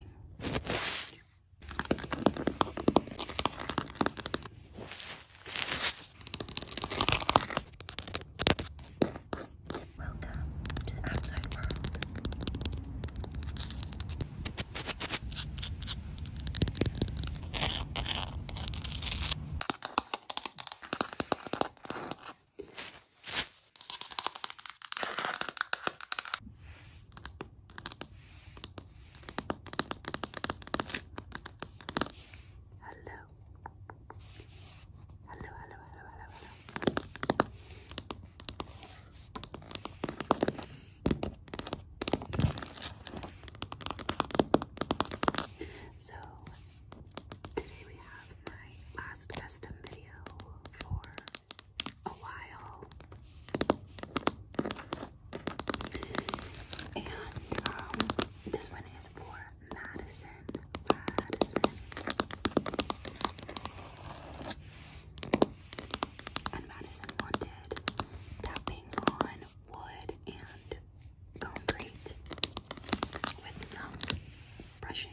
Welcome to the outside world. Hello. Hello, hello, hello, So today we have my last custom video for a while. And um, this one is for Madison. Madison. And Madison wanted tapping on wood and concrete with some brushing.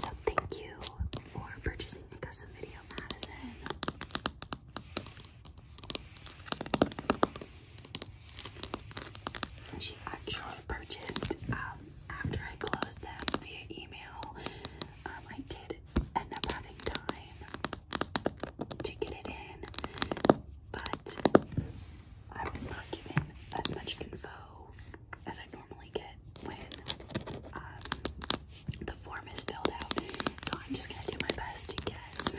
So thank you for purchasing the custom video, Madison. She actually purchased um, after I closed them via email. Um, I did end up having time to get it in, but I was not given as much info as I normally get when um, the form is filled out. So I'm just going to do my best to guess.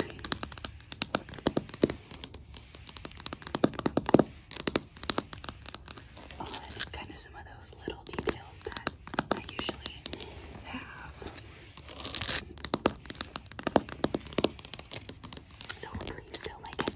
On kind of some of those little details that I usually have. So hopefully you still like it.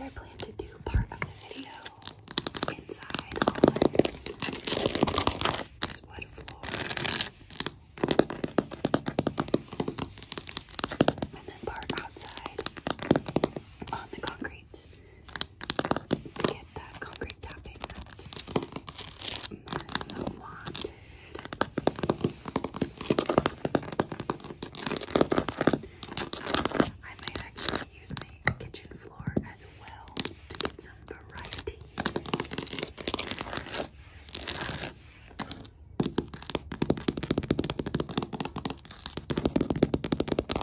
I plan to do part of the video inside on this wood floor. And then part outside on the concrete get that concrete tapping that wanted. I might actually use my kitchen floor as well to get some variety.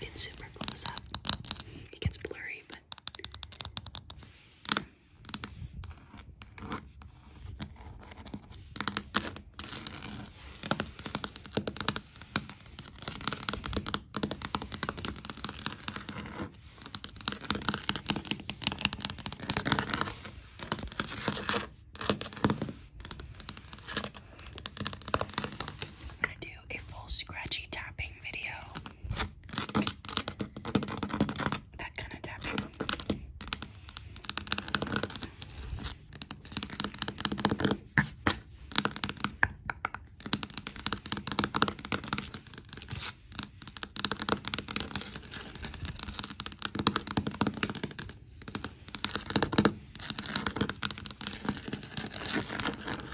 It's super close up. It gets blurry. but but I'm going to do a full scratchy tapping tapping video. That kind of tapping.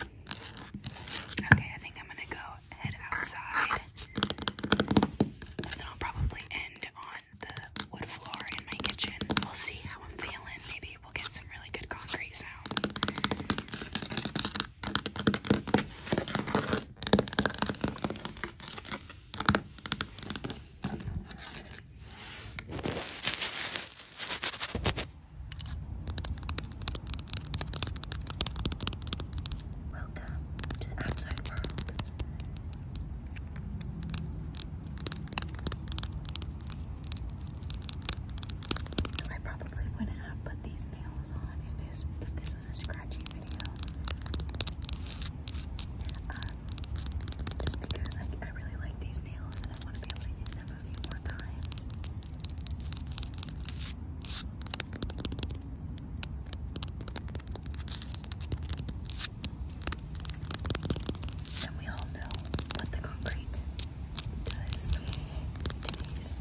Okay, I think I'm gonna go head outside. And then I'll probably end on the wood floor in my kitchen. We'll see how I'm feeling. Maybe we'll get some really good concrete sounds. Welcome to the outside world. I probably wouldn't have put these nails on if this if this was a scratchy video. Um, just because like I really like these nails and I want to be able to use them them a And we all know what the concrete does to these.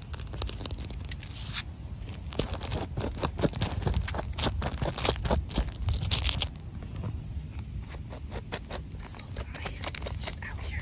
This whole pie is just out here.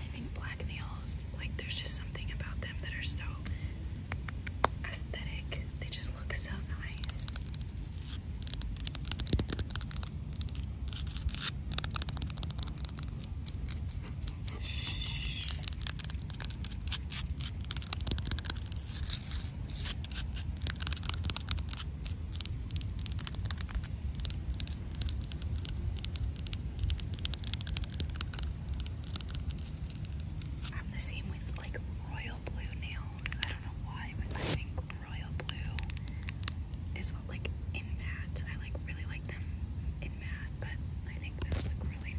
I think black nails, like there's just something about them that are so aesthetic. They just look so nice. I'm the same with like royal blue nails. I don't know why, but I think royal blue is what like in matte. I like really like them in matte, but I think those look really nice.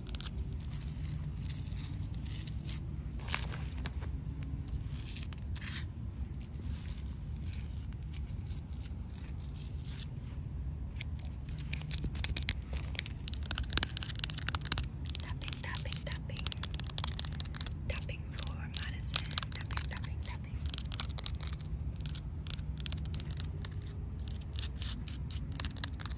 Tapping, tapping, tapping. Tapping for Madison. Tapping, tapping, tapping.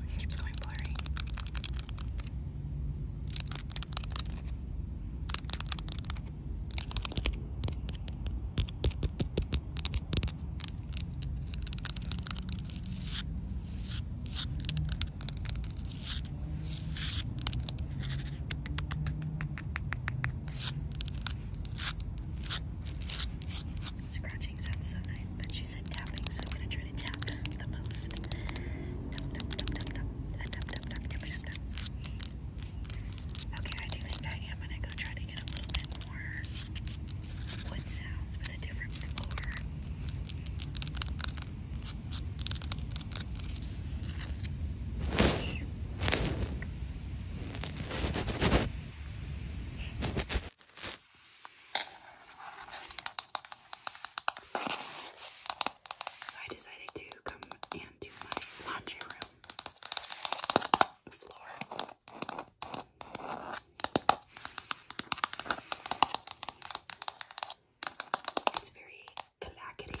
It keeps going blurry. Scratching sounds so nice, but she said tapping, so I'm gonna try to tap the most. Okay, I do think I am gonna go try to get a little bit more sounds with a different So I decided to come and do my laundry room floor. It's very clackety.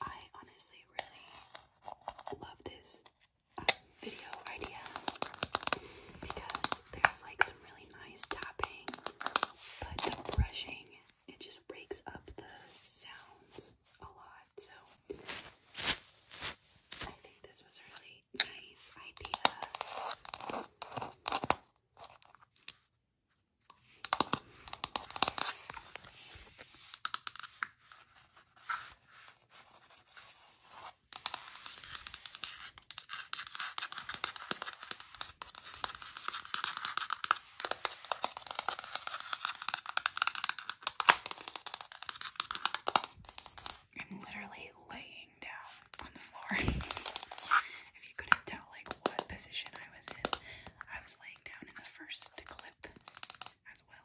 I honestly really love this uh, video idea because there's like some really nice tapping, but the brushing it just breaks up the sounds a lot. So I think this was really nice idea. I'm literally laying down on the floor. if you couldn't tell, like, what position I was in, I was laying down in the first clip as well.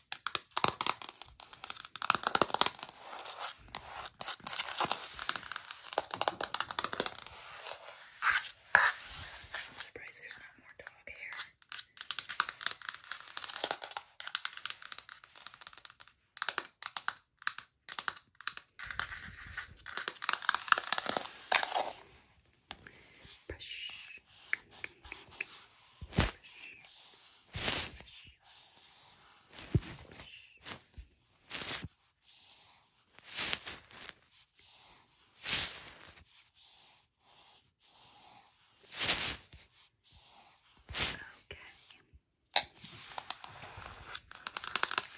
I'm surprised there's not more dog hair. Brush.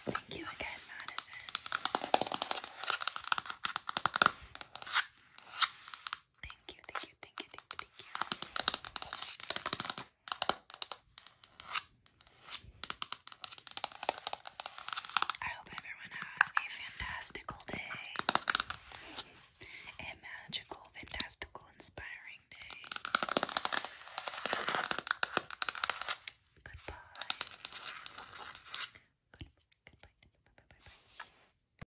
Thank you again, Madison. Thank you, thank you, thank you, thank you, thank you. I hope everyone has a fantastical day. A magical, fantastical, inspiring day. Goodbye. Good, goodbye. Bye, bye, bye, bye.